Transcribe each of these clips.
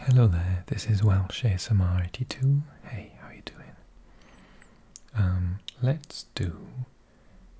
Hello there, this is Welsh ASMR82. Hey, how are you doing? Um, let's do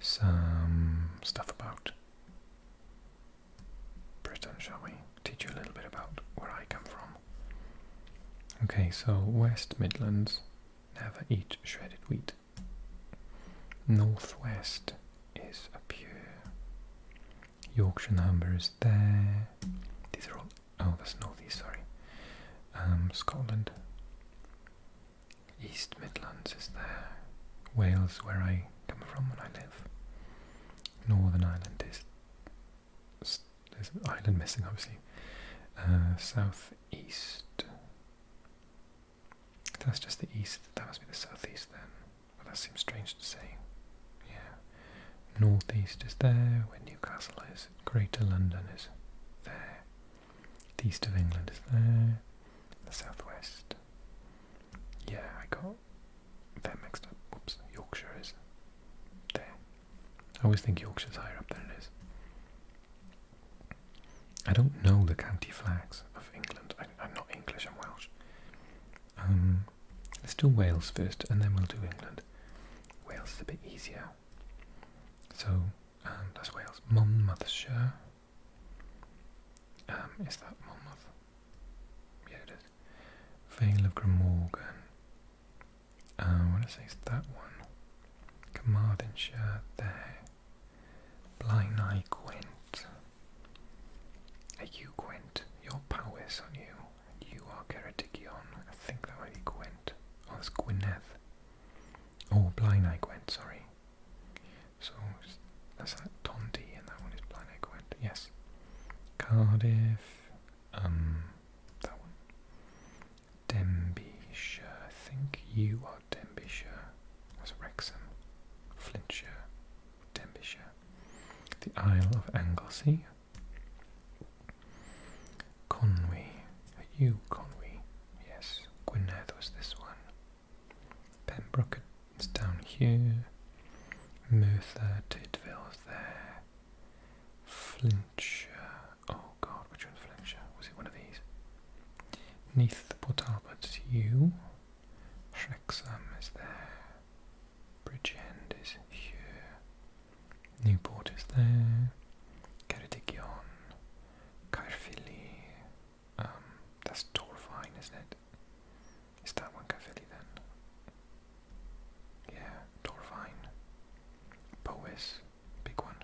some stuff about Britain, shall we? Teach you a little bit about where I come from. Okay, so West Midlands never eat shredded wheat. Northwest is a pure Yorkshire numbers there. These are all. Oh, that's northeast. Sorry. Um, Scotland. East Midlands is there. Wales, where I come from and I live. Northern Ireland is. There's an island missing, obviously. Uh, southeast. That's just the east. That must be the southeast then. Well, that seems strange to say. Yeah. Northeast is there, where Newcastle is, Greater London is there, the east of England is there, the southwest. Yeah, I got that mixed up. Whoops, Yorkshire is there. I always think Yorkshire's higher up than it is. I don't know the county flags of England. I, am not English, I'm Welsh. Um, let's do Wales first, and then we'll do England. Wales is a bit easier. So, um, that's Wales. Monmouthshire. Um, is that Monmouth? Yeah, it is. Vale of Glamorgan. Uh, what I want say it's that one. Carmarthenshire there. Blaenau Gwyn. Are you Gwent? Your power is on you. you are Geredigion. I think that might be Gwent. Oh, that's Gwyneth. Oh, Blind Eye Gwent, sorry. So, that's that Tondi, and that one is Blind Eye Yes. Cardiff. Um, that one. Denbyshire. I think you are Denbighshire. That's Wrexham. Flintshire. Denbighshire, the Isle of Anglesey, Conwy, you Conwy? Yes, Gwynedd was this one. Pembroke it's down here, Merthyr, Tydfill's there, Flintshire, oh god, which one's Flintshire? Was it one of these? Neath Port Albert's you, Shrexham is there. Bridgend is here. Newport is there. Ceredigion. Caerphilly. Um, that's Torvine, isn't it? Is that one Caerphilly then? Yeah, Torvine. Powys, big one.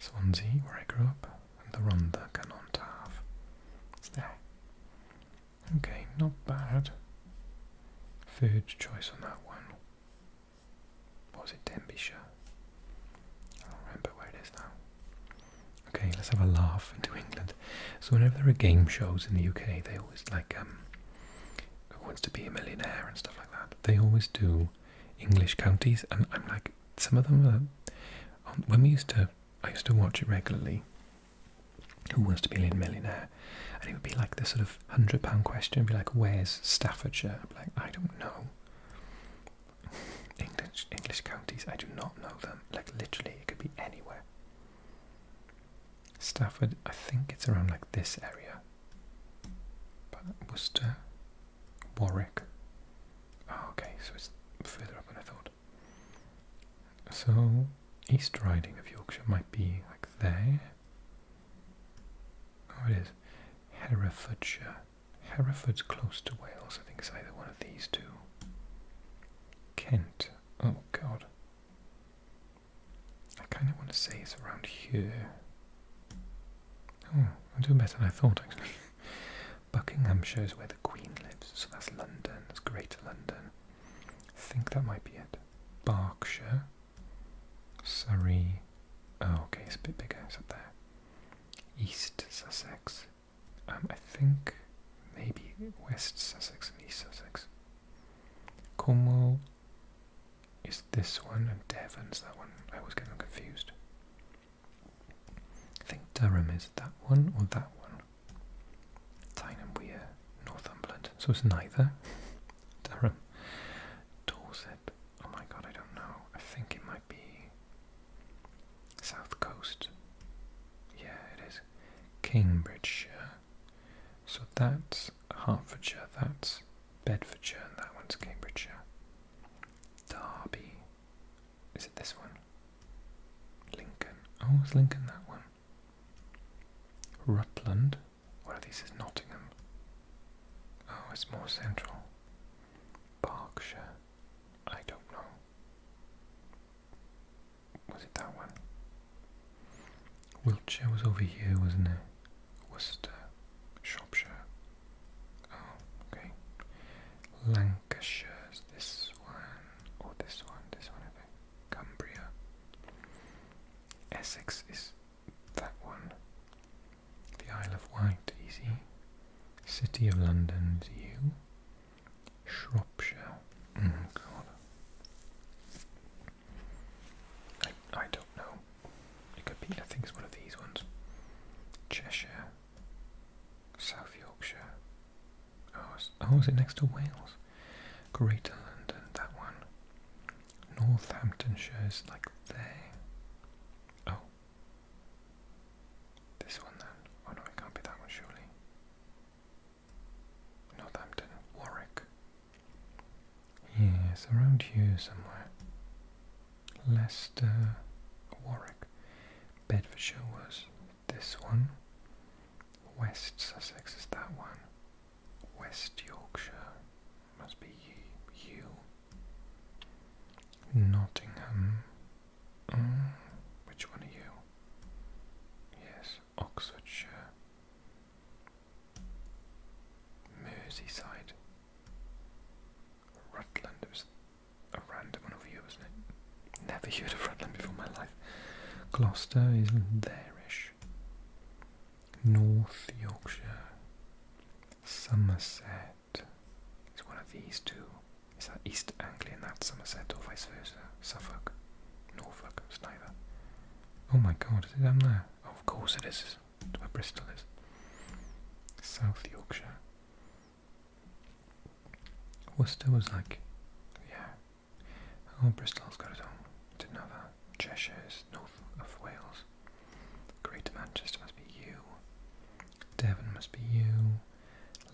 Swansea, where I grew up and the Ronda Kanontav. It's there. Okay, not bad. Third choice on that one. was it, Denbighshire? I don't remember where it is now. Okay, let's have a laugh into England. So whenever there are game shows in the UK, they always like um, who wants to be a millionaire and stuff like that. They always do English counties, and I'm like, some of them are. Um, when we used to I used to watch it regularly. Who wants to be a millionaire? And it would be like the sort of hundred pound question, It'd be like, "Where's Staffordshire?" i like, I don't know. English English counties, I do not know them. Like literally, it could be anywhere. Stafford, I think it's around like this area. But Worcester, Warwick. Oh, okay, so it's further up than I thought. So East Riding of Yorkshire might be like there. Oh, it is. Herefordshire. Hereford's close to Wales. I think it's either one of these two. Kent. Oh, God. I kind of want to say it's around here. Oh, I'm doing better than I thought, actually. Buckinghamshire is where the Queen lives, so that's London, that's Greater London. I think that might be it. Berkshire, Surrey, oh okay, it's a bit bigger, it's up there. East Sussex, um, I think maybe West Sussex and East Sussex. Cornwall is this one and Devon's that one. I was get them confused. I think Durham is that one or that one. Tyne and Wear, Northumberland. So it's neither. Durham. Dorset. Oh my god, I don't know. I think it might be South Coast. Yeah, it is. Cambridgeshire. So that's Hertfordshire, that's Bedfordshire, and that one's Cambridgeshire. Derby. Is it this one? Lincoln. Oh, it's Lincoln that one? Rutland. One of these is Nottingham. Oh, it's more central. Berkshire. I don't know. Was it that one? Wiltshire was over here, wasn't it? Worcester. Shropshire. Oh, okay. Lancashire's this one, or oh, this one, this one, I Cumbria. Essex is that one. The Isle of Wight, easy. City of London, U. Shropshire. Mm, God. I, I don't know. It could be, I think it's one of these ones. Cheshire. South Yorkshire. Oh, is, oh, is it next to Wales? Greater London, that one. Northamptonshire is like there. Oh. This one then. Oh no, it can't be that one, surely. Northampton, Warwick. Yes, around here somewhere. Leicester, Warwick. Bedfordshire was this one. West Sussex is that one. West Yorkshire must be you. Nottingham. Mm, which one are you? Yes, Oxfordshire. Merseyside. Rutland. It was a random one over wasn't it? Never heard of Rutland before my life. Gloucester is there North Yorkshire. Somerset. is one of these two. Is that East Anglia and Somerset or vice versa? Suffolk. Norfolk. It's neither. Oh my god, is it down there? Of course it is where Bristol is. South Yorkshire. Worcester was like, yeah. Oh, Bristol's got its own. Didn't know north of Wales. Greater Manchester must be you. Devon must be you.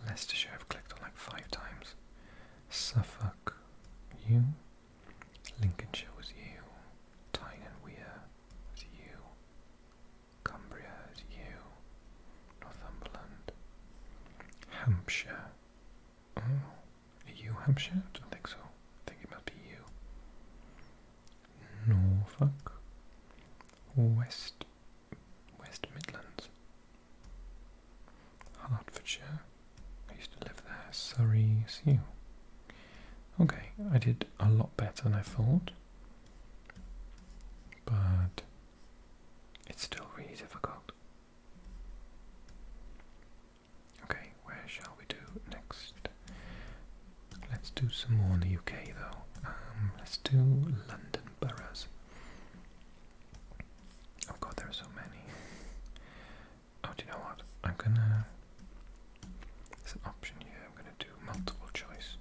Leicestershire I've clicked on like five times. Suffolk, you. Lincolnshire was you. Tyne and Wear was you. Cumbria you, Northumberland, Hampshire. Oh, you Hampshire? I don't think so. I think it must be you. Norfolk, West, West Midlands, Hertfordshire. I used to live there. Surrey, is you. Okay, I did a lot better than I thought but it's still really difficult. Okay, where shall we do next? Let's do some more in the UK though. Um, let's do London boroughs. Oh god, there are so many. Oh, do you know what? I'm gonna it's an option here. I'm going to do multiple choice.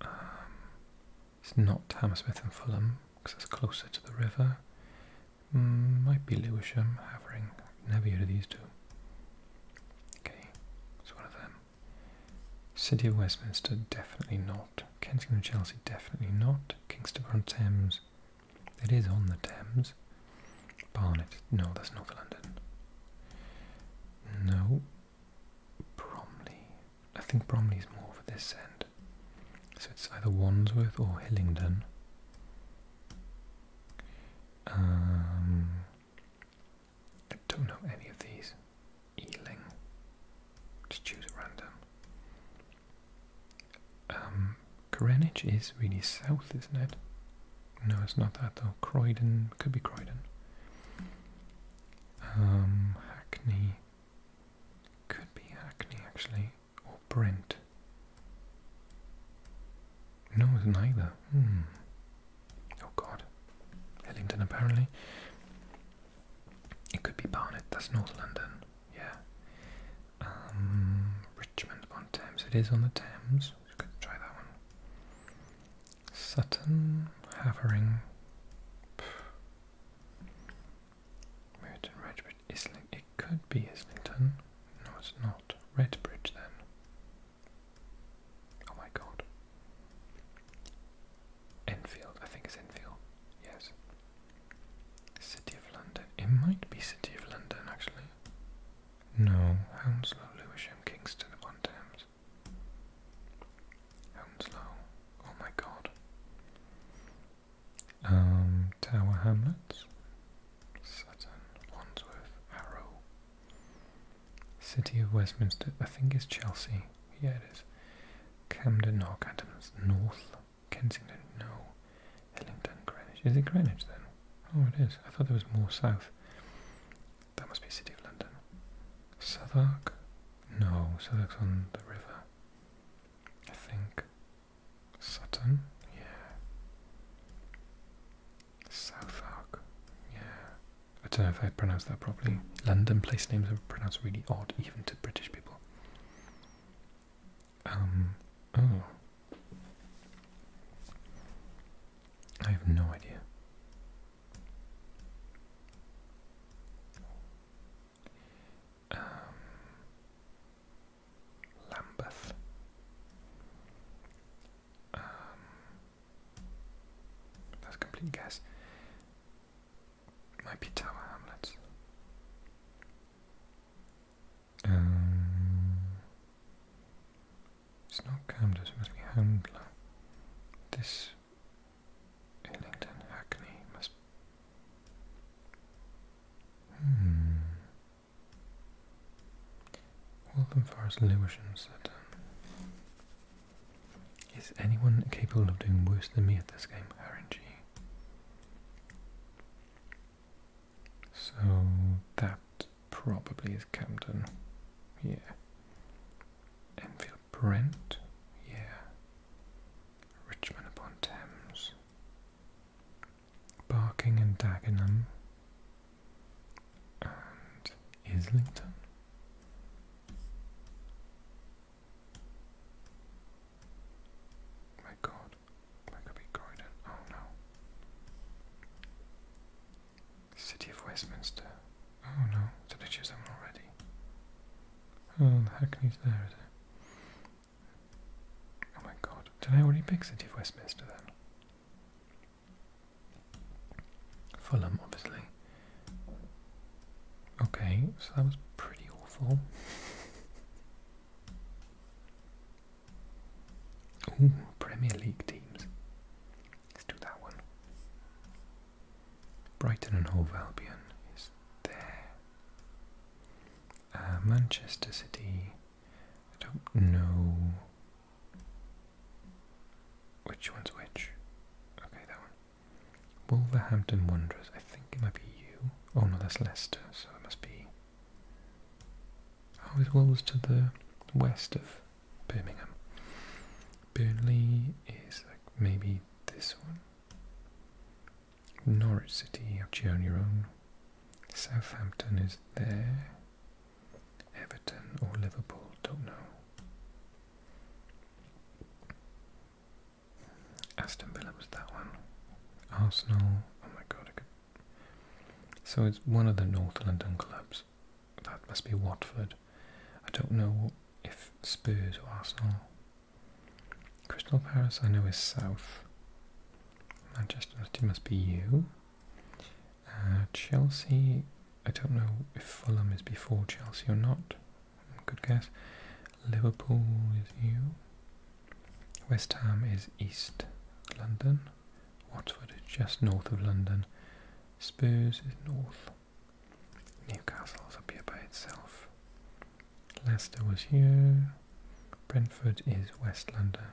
Um, it's not Hammersmith and Fulham because it's closer to the river. Mm, might be Lewisham, Havering. Never heard of these two. Okay, it's one of them. City of Westminster, definitely not. Kensington and Chelsea, definitely not. Kingston upon Thames, it is on the Thames. Barnet. No, that's North London. No. Bromley. I think Bromley is more for this end. So it's either Wandsworth or Hillingdon. Um, I don't know any of these. Ealing. Just choose at random. Um, Greenwich is really south, isn't it? No, it's not that though. Croydon, could be Croydon. Um, Hackney, could be Hackney actually, or Brent. No, neither. Hmm. Oh god. Hillington apparently. It could be Barnet, that's North London. Yeah. Um, Richmond on Thames. It is on the Thames. You could try that one. Sutton, Havering, Merton, Redbridge, Islington. It could be Islington. No, it's not. Redbridge then. Oh my god. Enfield. I think it's Enfield. Yes. City of London. It might be City of London actually. No, Hounslow, Lewisham, Kingston upon Thames. Hounslow. Oh my god. Um, Tower Hamlets. Sutton, Wandsworth, Harrow. City of Westminster, I think it's Chelsea. Yeah, it is. Camden, North Adams, North. Kensington, no. Hillingdon, Greenwich. Is it Greenwich then? Oh, it is. I thought there was more south. That must be City of London. Southwark? No, Southwark's on the river. I think. Sutton? Yeah. Southwark? Yeah. I don't know if I pronounced that properly. London place names are pronounced really odd, even to British people. Um, oh. I have no idea. Um, Lambeth. Um, that's a complete guess. Might be Tower Hamlets. Um, it's not Camden, it must be Handler. This Hillingdon Hackney must. Hmm. Waltham Forest Lewisham Is anyone capable of doing worse than me at this game, RNG? So that probably is Camden. Yeah. Enfield Brent. Yeah. Richmond upon Thames. Barking and Dagenham. And Islington. My god. That could Oh no. City of Westminster. Oh no, did I choose that already? Oh, the Hackney's there, is it? Oh my god, did I already pick City of Westminster then? Fulham, obviously. Okay, so that was pretty awful. Oh, Premier League teams. Let's do that one. Brighton and Hove Albion is there. Uh, Manchester City. I don't know which one's which. Okay, that one. Wolverhampton Wanderers. I think it might be you. Oh no, that's Leicester, so it must be Oh, it was to the west of Birmingham. Burnley is like maybe this one. Norwich City, actually on your own. Southampton is there. Everton or Liverpool, don't know. Aston Villa was that one. Arsenal. Oh my god. So it's one of the North London clubs. That must be Watford. I don't know if Spurs or Arsenal. Crystal Palace I know is South. Manchester City must be you. Uh, Chelsea, I don't know if Fulham is before Chelsea or not. Good guess. Liverpool is you. West Ham is East London. Watford is just north of London. Spurs is north. Newcastle is up here by itself. Leicester was here. Brentford is West London.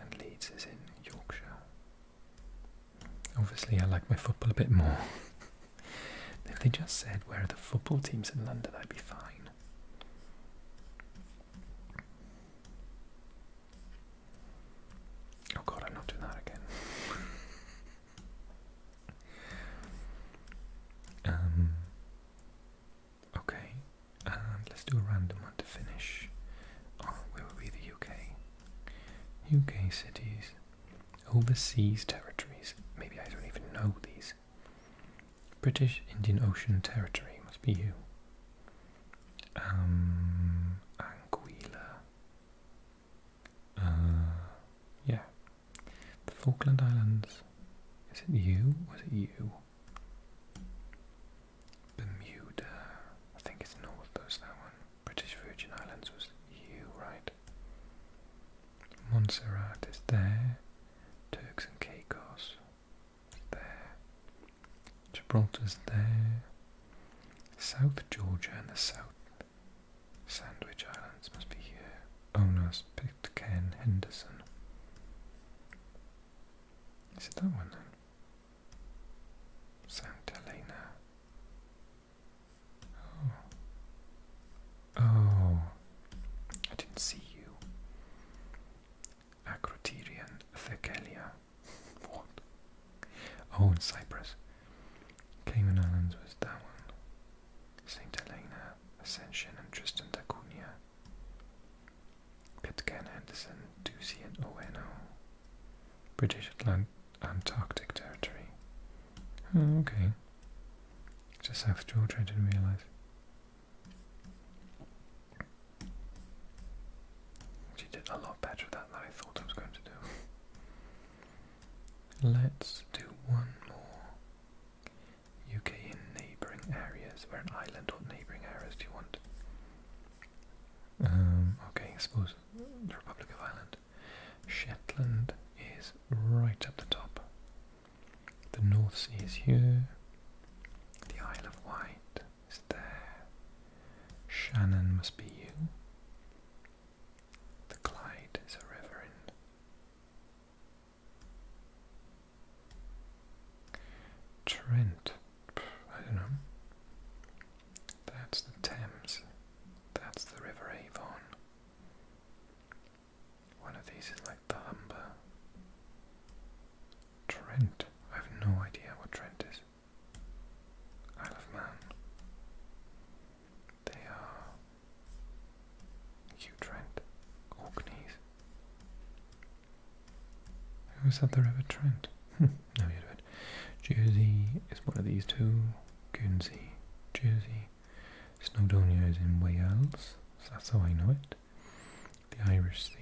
And Leeds is in Yorkshire. Obviously, I like my football a bit more. if they just said, where are the football teams in London, I'd be fine. Oh god, I'm not doing that again. um, okay, uh, let's do a random one to finish. Oh, will be the UK? UK cities, overseas territories. Maybe I don't even know these. British Indian Ocean Territory, must be you. Um, Anguilla. Uh, yeah. The Falkland Islands. Is it you? Was it you? Bermuda. I think it's north, there's that one. British Virgin Islands was you, right? Montserrat is there. Turks and Caicos there. Gibraltar's there. South Georgia and the South Sandwich Islands must be here. Onos picked Ken Henderson. Is it that one then? Santa Elena. Oh. Oh, I didn't see you. Acroterian Thecalia. what? Oh, and Cyprus. Cayman Islands was that one. St. Helena, Ascension, and Tristan da Cunha. Pitcairn, Henderson, Ducey, and Oweno. British Antarctic Territory. Oh, okay. Just South Georgia, I didn't realise. She did a lot better at that than I thought I was going to do. Let's do one more. UK in neighbouring areas. Or an island or neighbouring areas do you want? Um, okay, I suppose the Republic of Ireland. Shetland is right up the top. The North Sea is here. The Isle of Wight is there. Shannon must be you. The Clyde is a river in. Trent. I don't know. That's the Thames. That's the River Avon. One of these is like the Humber. Trent. I have no idea what Trent is. Isle of Man. They are. Hugh Trent. Orkneys. Who is that the River Trent? no you do it. Jersey is one of these two. Guernsey. Jersey. Snowdonia is in Wales, that's how I know it. The Irish Sea.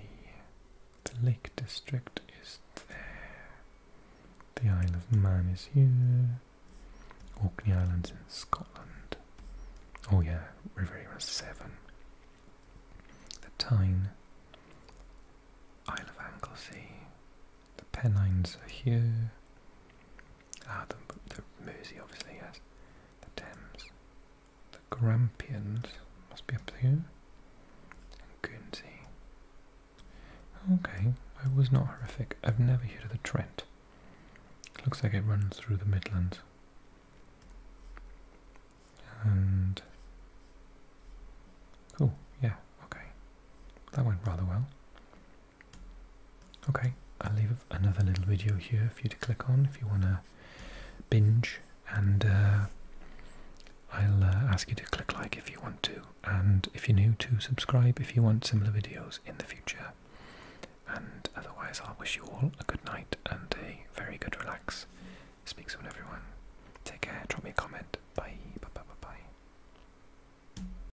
The Lake District is there. The Isle of Man is here. Orkney Islands in Scotland. Oh yeah, River Era 7. The Tyne. Isle of Anglesey. The Pennines are here. Ah, the, the Mersey obviously, yes. The Thames. The Grampians must be up there. And Guernsey. Okay, that was not horrific. I've never heard of the Trent. Looks like it runs through the Midlands. And... Cool, yeah, okay. That went rather well. Okay, I'll leave another little video here for you to click on if you want to binge, and uh, I'll uh, ask you to click like if you want to, and if you're new, to subscribe if you want similar videos in the future. And otherwise, I'll wish you all a good night and a very good relax. Speak soon, everyone. Take care. Drop me a comment. Bye. Bye. Bye. Bye. bye.